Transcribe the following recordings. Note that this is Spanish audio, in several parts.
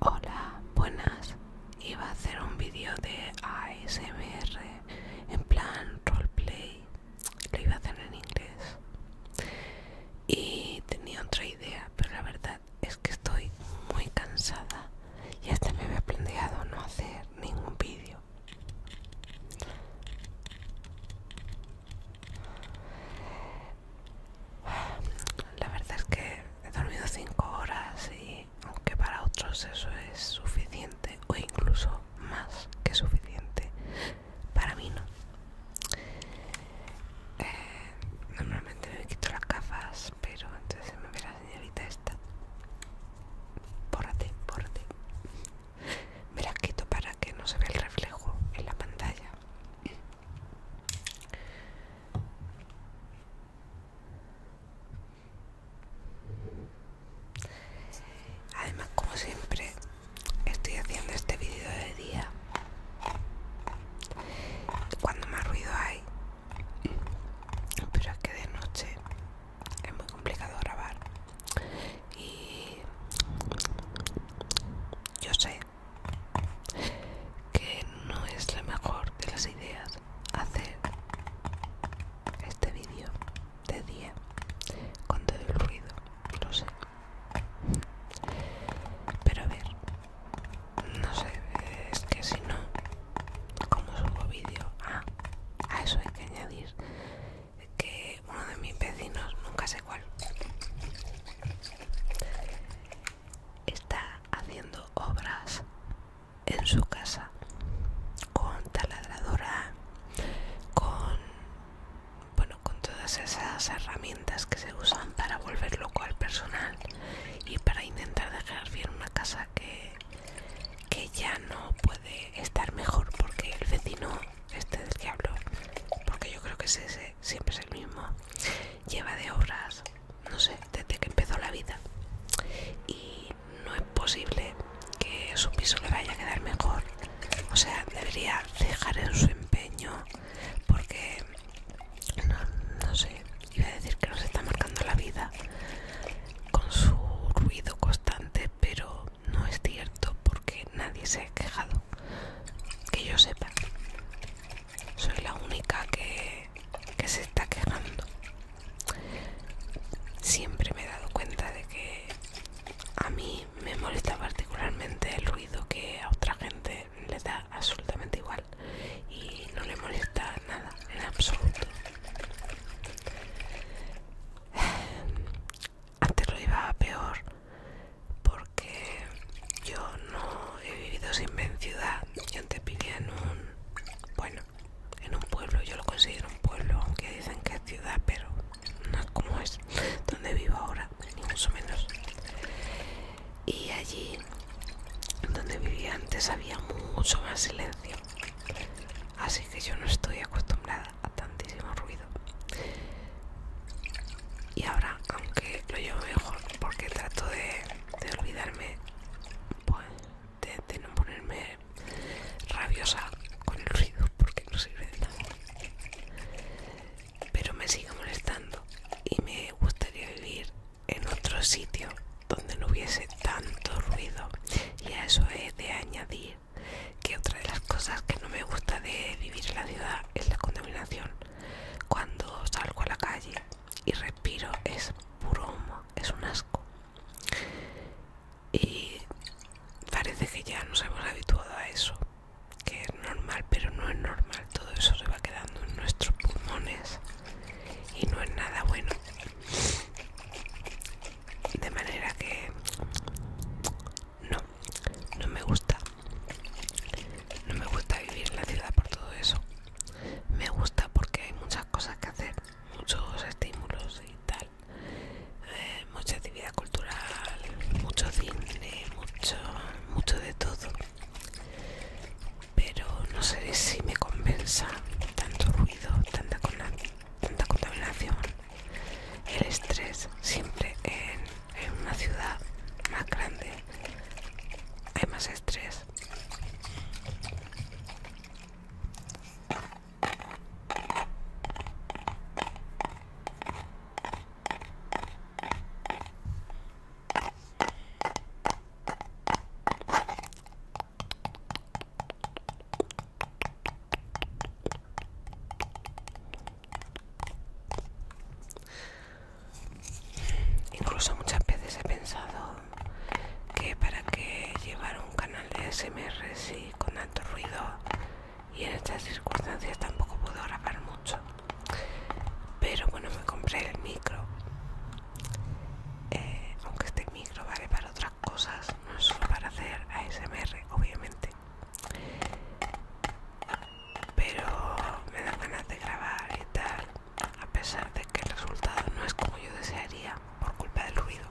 Hola, buenas. Iba a hacer un vídeo de ASMR en plan roleplay. Lo iba a hacer en inglés. Y tenía otra idea, pero la verdad es que estoy muy cansada. Y hasta me había planteado no hacer ningún vídeo. La verdad es que he dormido 5 horas y aunque para otros eso es suficiente o incluso más que suficiente, para mí no. Eh, normalmente me quito las gafas, pero entonces me ve la señorita esta. Por por ti. Me las quito para que no se vea el reflejo en la pantalla. Además, como siempre, estoy haciendo este vídeo de día. Cuando más ruido hay. Pero es que de noche es muy complicado grabar y yo sé que no es la mejor de las ideas hacer este vídeo de día con todo el ruido, lo sé. Pero a ver, no sé, es que si no, como subo vídeo, ah, a eso hay que añadir que uno de mis vecinos, nunca sé cuál, está haciendo obras en su casa con taladradora, con bueno, con todas esas herramientas que se usan para volver loco al personal y para intentar dejar bien una casa que que ya no puede estar mejor porque el vecino este del que hablo, porque yo creo que ese, siempre es el mismo, lleva de obras, no sé, desde que empezó la vida. Y no es posible que su piso le vaya a quedar mejor. O sea, debería dejar en su empeño, porque no, no sé, iba a decir que nos está marcando la vida con su ruido constante, pero no es cierto porque nadie se ha quejado. Que yo sepa. Soy la única que, se está quejando. Siempre me he dado cuenta de que a mí me molesta particularmente el ruido que a otra gente le da absolutamente igual y no le molesta nada en absoluto antes lo llevaba peor porque yo no he vivido sin en ciudad. Yo antes vivía en un, bueno, en un pueblo, yo lo considero un pueblo, aunque dicen que es ciudad, pero no es como es donde vivo ahora, ni mucho menos. Y allí donde vivía antes había mucho más silencio, así que yo no estoy acostumbrada a tantísimo ruido y ahora aunque lo llevo mejor porque trato de, olvidarme pues, no ponerme rabiosa con el ruido porque no sirve de nada pero me sigue molestando y me gustaría vivir en otro sitio donde no hubiese tanto ruido y a eso he de añadir que otra de las cosas que no me gusta de vivir en la ciudad es la contaminación. Cuando salgo a la calle y respiro es puro humo, es un asco. Y parece que ya nos hemos habituado a eso, que es normal, pero no es normal. Todo eso se va quedando en nuestros pulmones y no es nada bueno de manera que no, no me gusta no me gusta vivir en la ciudad por todo eso me gusta porque hay muchas cosas que hacer muchos estímulos y tal eh, mucha actividad cultural mucho cine mucho mucho de todo pero no sé si me compensa tanto ruido tanta, con tanta contaminación, el estrés siempre en, una ciudad más grande hay más estrés. Incluso muchas veces he pensado que para qué llevar un canal de SMR si con tanto ruido y en estas circunstancias tampoco puedo grabar mucho. Pero bueno, me compré el micro. Eh, aunque este micro vale para otras cosas, no solo para hacer ASMR, obviamente. Pero me da ganas de grabar y tal, a pesar de que el resultado no es como yo desearía por culpa del ruido.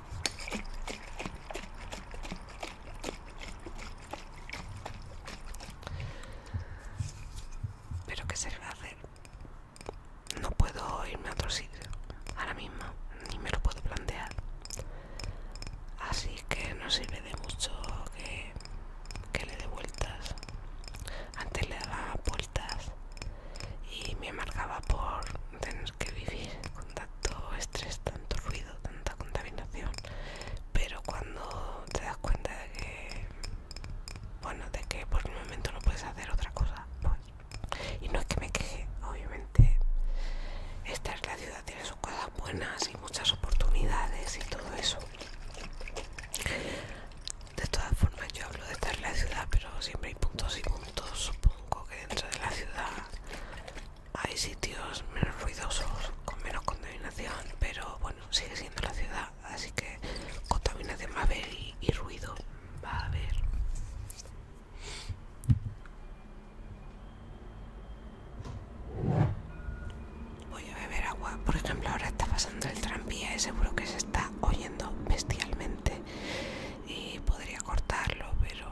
Pero que se le va a hacer no puedo irme a otro sitio ahora mismo, ni me lo puedo plantear. Así que no sirve de mucho que, le dé vueltas. Antes le daba vueltas y me amargaba por tener que vivir con tanto estrés, tanto ruido, tanta contaminación. Pero cuando te das cuenta de que, bueno, de que por el momento no puedes hacer otra cosa, pues y no es que me queje, obviamente esta es la ciudad, tiene sus cosas buenas y muchas oportunidades y todo eso. De todas formas, yo hablo de estar en la ciudad, pero siempre hay puntos y puntos. Supongo que dentro de la ciudad hay sitios menos ruidosos, con menos contaminación, pero bueno, sigue siendo la ciudad así que contaminación de a y, ruido va a haber voy a beber agua por ejemplo ahora está pasando el tranvía y seguro que se está oyendo bestialmente y podría cortarlo pero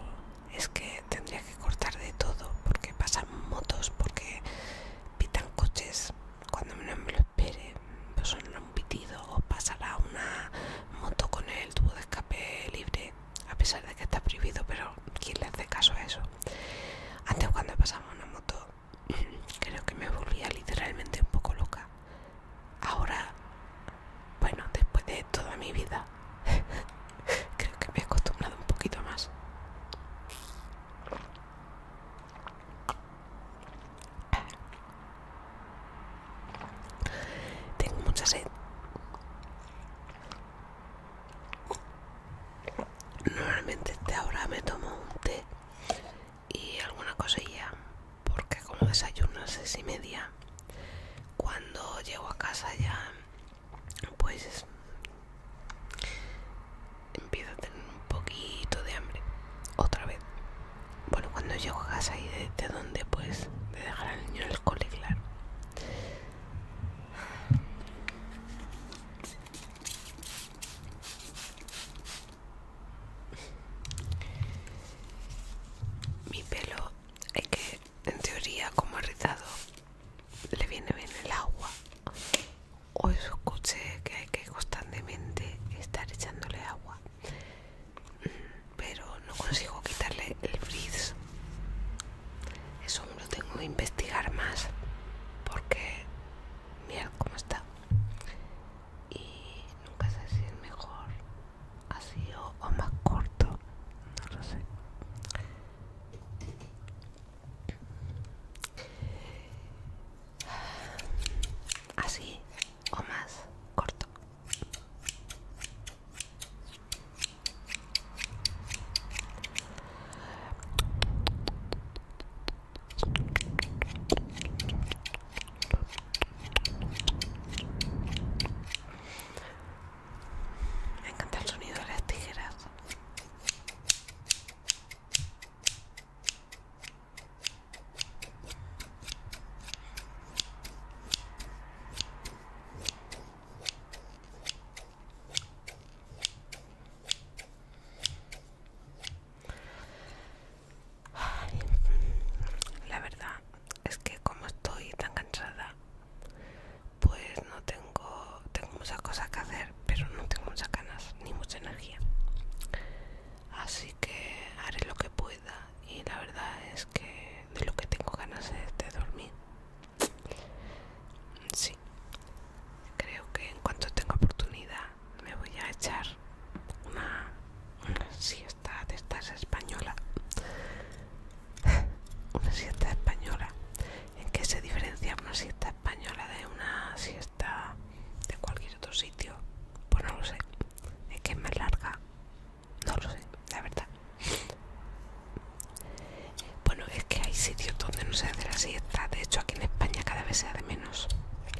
es que tendría que cortar de todo porque pasan motos porque pitan coches cuando me lo pues sonará un pitido o pasará una moto con el tubo de escape libre, a pesar de que está prohibido, pero ¿quién le hace caso a eso? Antes cuando pasaba una moto creo que me volvía literalmente un poco loca. Ahora, bueno, después de toda mi vida, creo que me he acostumbrado un poquito más. Tengo mucha sed. Normalmente este ahora me tomo un té y alguna cosilla, porque como desayuno a seis y media, cuando llego a casa ya, pues empiezo a tener un poquito de hambre. Otra vez. Bueno, cuando llego a casa y de, donde pues de dejar al niño en el cole, claro. Mi pelo es que en teoría como ha le viene bien el agua o escuché que hay que constantemente estar echándole agua pero no consigo quitarle el frizz eso lo tengo que investigar más porque Mira cómo está y nunca sé si es mejor así o más corto no lo sé así o más corto. Me encanta el sonido de las tijeras la verdad es que como estoy tan cansada, pues no tengo tengo, muchas cosas que hacer, pero no tengo muchas ganas ni mucha energía. Así que haré lo que pueda y la verdad es que de lo que tengo ganas es de dormir. Sí, creo que en cuanto tenga oportunidad me voy a echar una, siesta de estas española. una siesta española en qué se diferencia una siesta española de una siesta de cualquier otro sitio pues no lo sé es que es más larga no lo sé la verdad bueno es que hay sitios donde no se hace la siesta de hecho aquí en España cada vez se hace menos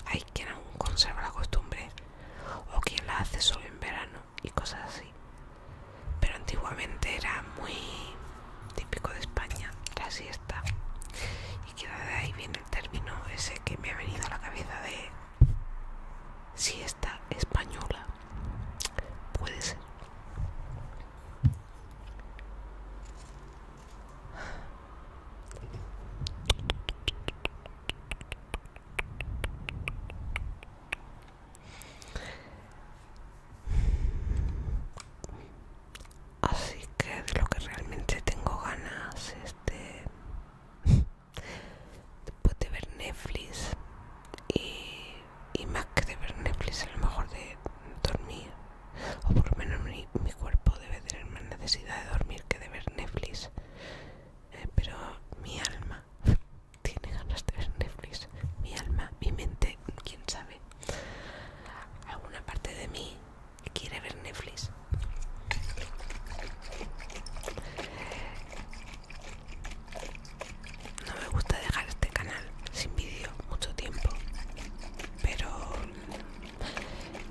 hay quien aún conserva la costumbre o quien la hace solo en verano y cosas así pero antiguamente era muy típico de España, la siesta. Y que de ahí viene el término ese que me ha venido a la cabeza de siesta española. Puede ser. Así que de lo que realmente tengo ganas Este de, de ver Netflix y, más que de ver Netflix a lo mejor de dormir o por lo menos mi, cuerpo debe tener más necesidad de dormir que de ver Netflix eh, pero mi alma tiene ganas de ver Netflix mi alma, mi mente, quién sabe Alguna parte de mí quiere ver Netflix. No me gusta dejar este canal sin vídeo mucho tiempo, pero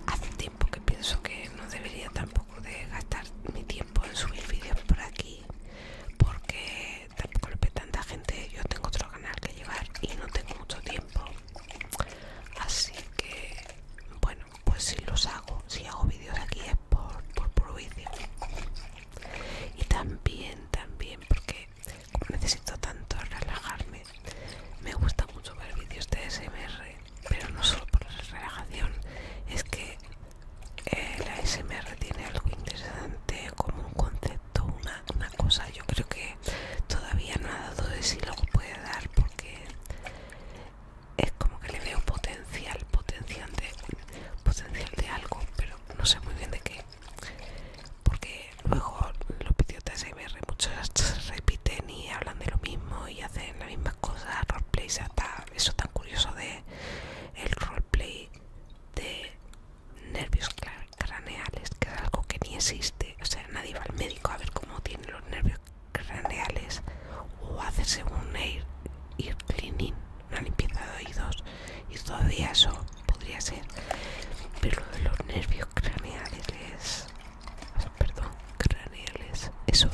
hace tiempo que pienso que no debería tampoco de gastar mi tiempo en subir vídeos por aquí, porque porque tampoco tanta gente. Yo tengo otro canal que llevar y no tengo mucho tiempo. Así que, bueno, pues si los hago, si hago vídeos aquí es por, por, Y también, también, porque como necesito tanto relajarme, me gusta mucho ver vídeos de SMR, pero no solo por la relajación, es que la ASMR tiene algo interesante como un concepto, una, cosa. Yo creo que todavía no ha dado de sí lo puede dar porque es como que le veo potencial, potencial potencial de algo, pero no sé muy bien de qué. Porque luego los vídeos de ASMR muchos se repiten y hablan de lo mismo y hacen las mismas cosas, sea, hasta eso tan curioso de el roleplay de nervios craneales, que es algo que ni existe. O sea, nadie va al médico a ver cómo tiene los nervios craneales o hacerse un air, cleaning, una limpieza de oídos. Y todavía eso podría ser. Pero lo de los nervios craneales, perdón, craneales, eso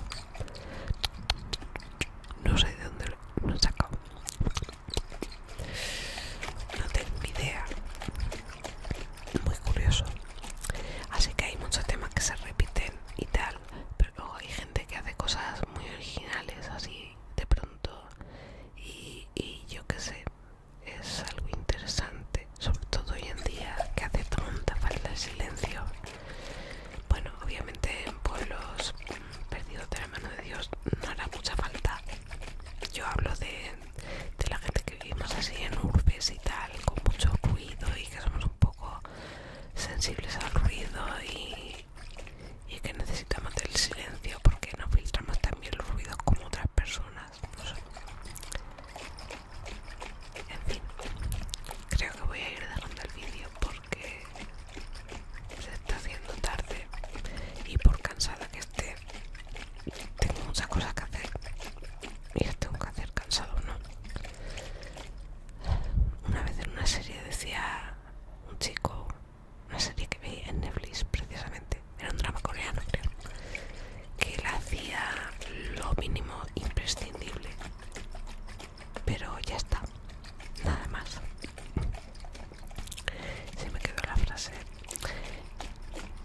no sé de dónde lo he sacado no tengo ni idea. Muy curioso. Así que hay muchos temas que se repiten y tal. Pero luego hay gente que hace cosas muy originales así de pronto. Y, y yo qué sé, es algo interesante. Sobre todo hoy en día que hace tanta falta de silencio. Bueno, obviamente en pueblos perdido de la mano de Dios no hará mucha falta. Yo hablo de, la gente que vivimos así en urbes y tal, con mucho ruido y que somos un poco sensibles al ruido y, que necesitamos del silencio porque no filtramos tan bien los ruidos como otras personas. Pues, en fin, creo que voy a ir dejando el vídeo porque se está haciendo tarde y por cansada que esté, tengo muchas cosas que hacer y las tengo que hacer cansado, ¿no? Una vez en una serie decía un chico, una serie que veía en Netflix precisamente, era un drama coreano, creo, que él hacía lo mínimo imprescindible pero ya está, nada más. Se me quedó la frase.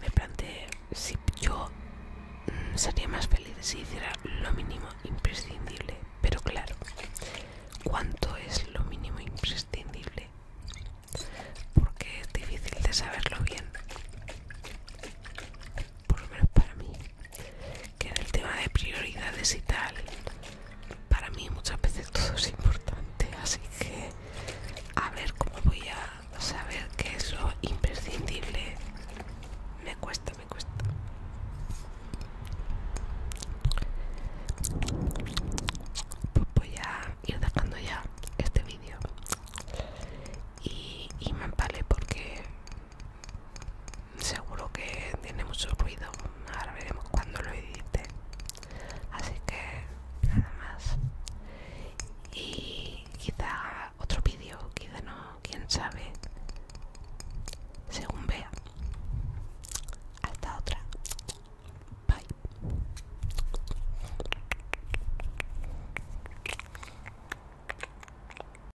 Me planteé si yo mm, sería más feliz si hiciera lo mínimo imprescindible, pero claro, ¿cuánto es lo mínimo imprescindible? Porque es difícil de saberlo bien, por lo menos para mí que en el tema de prioridades y tal, para mí muchas veces todo es importante, así que a ver cómo voy a saber que es lo imprescindible. Me cuesta, me cuesta. Pues voy a ir dejando ya este vídeo y, y me porque seguro que tiene mucho ruido ahora veremos cuando lo edite así que nada más y quizá otro vídeo quizá no quién sabe según vea hasta otra bye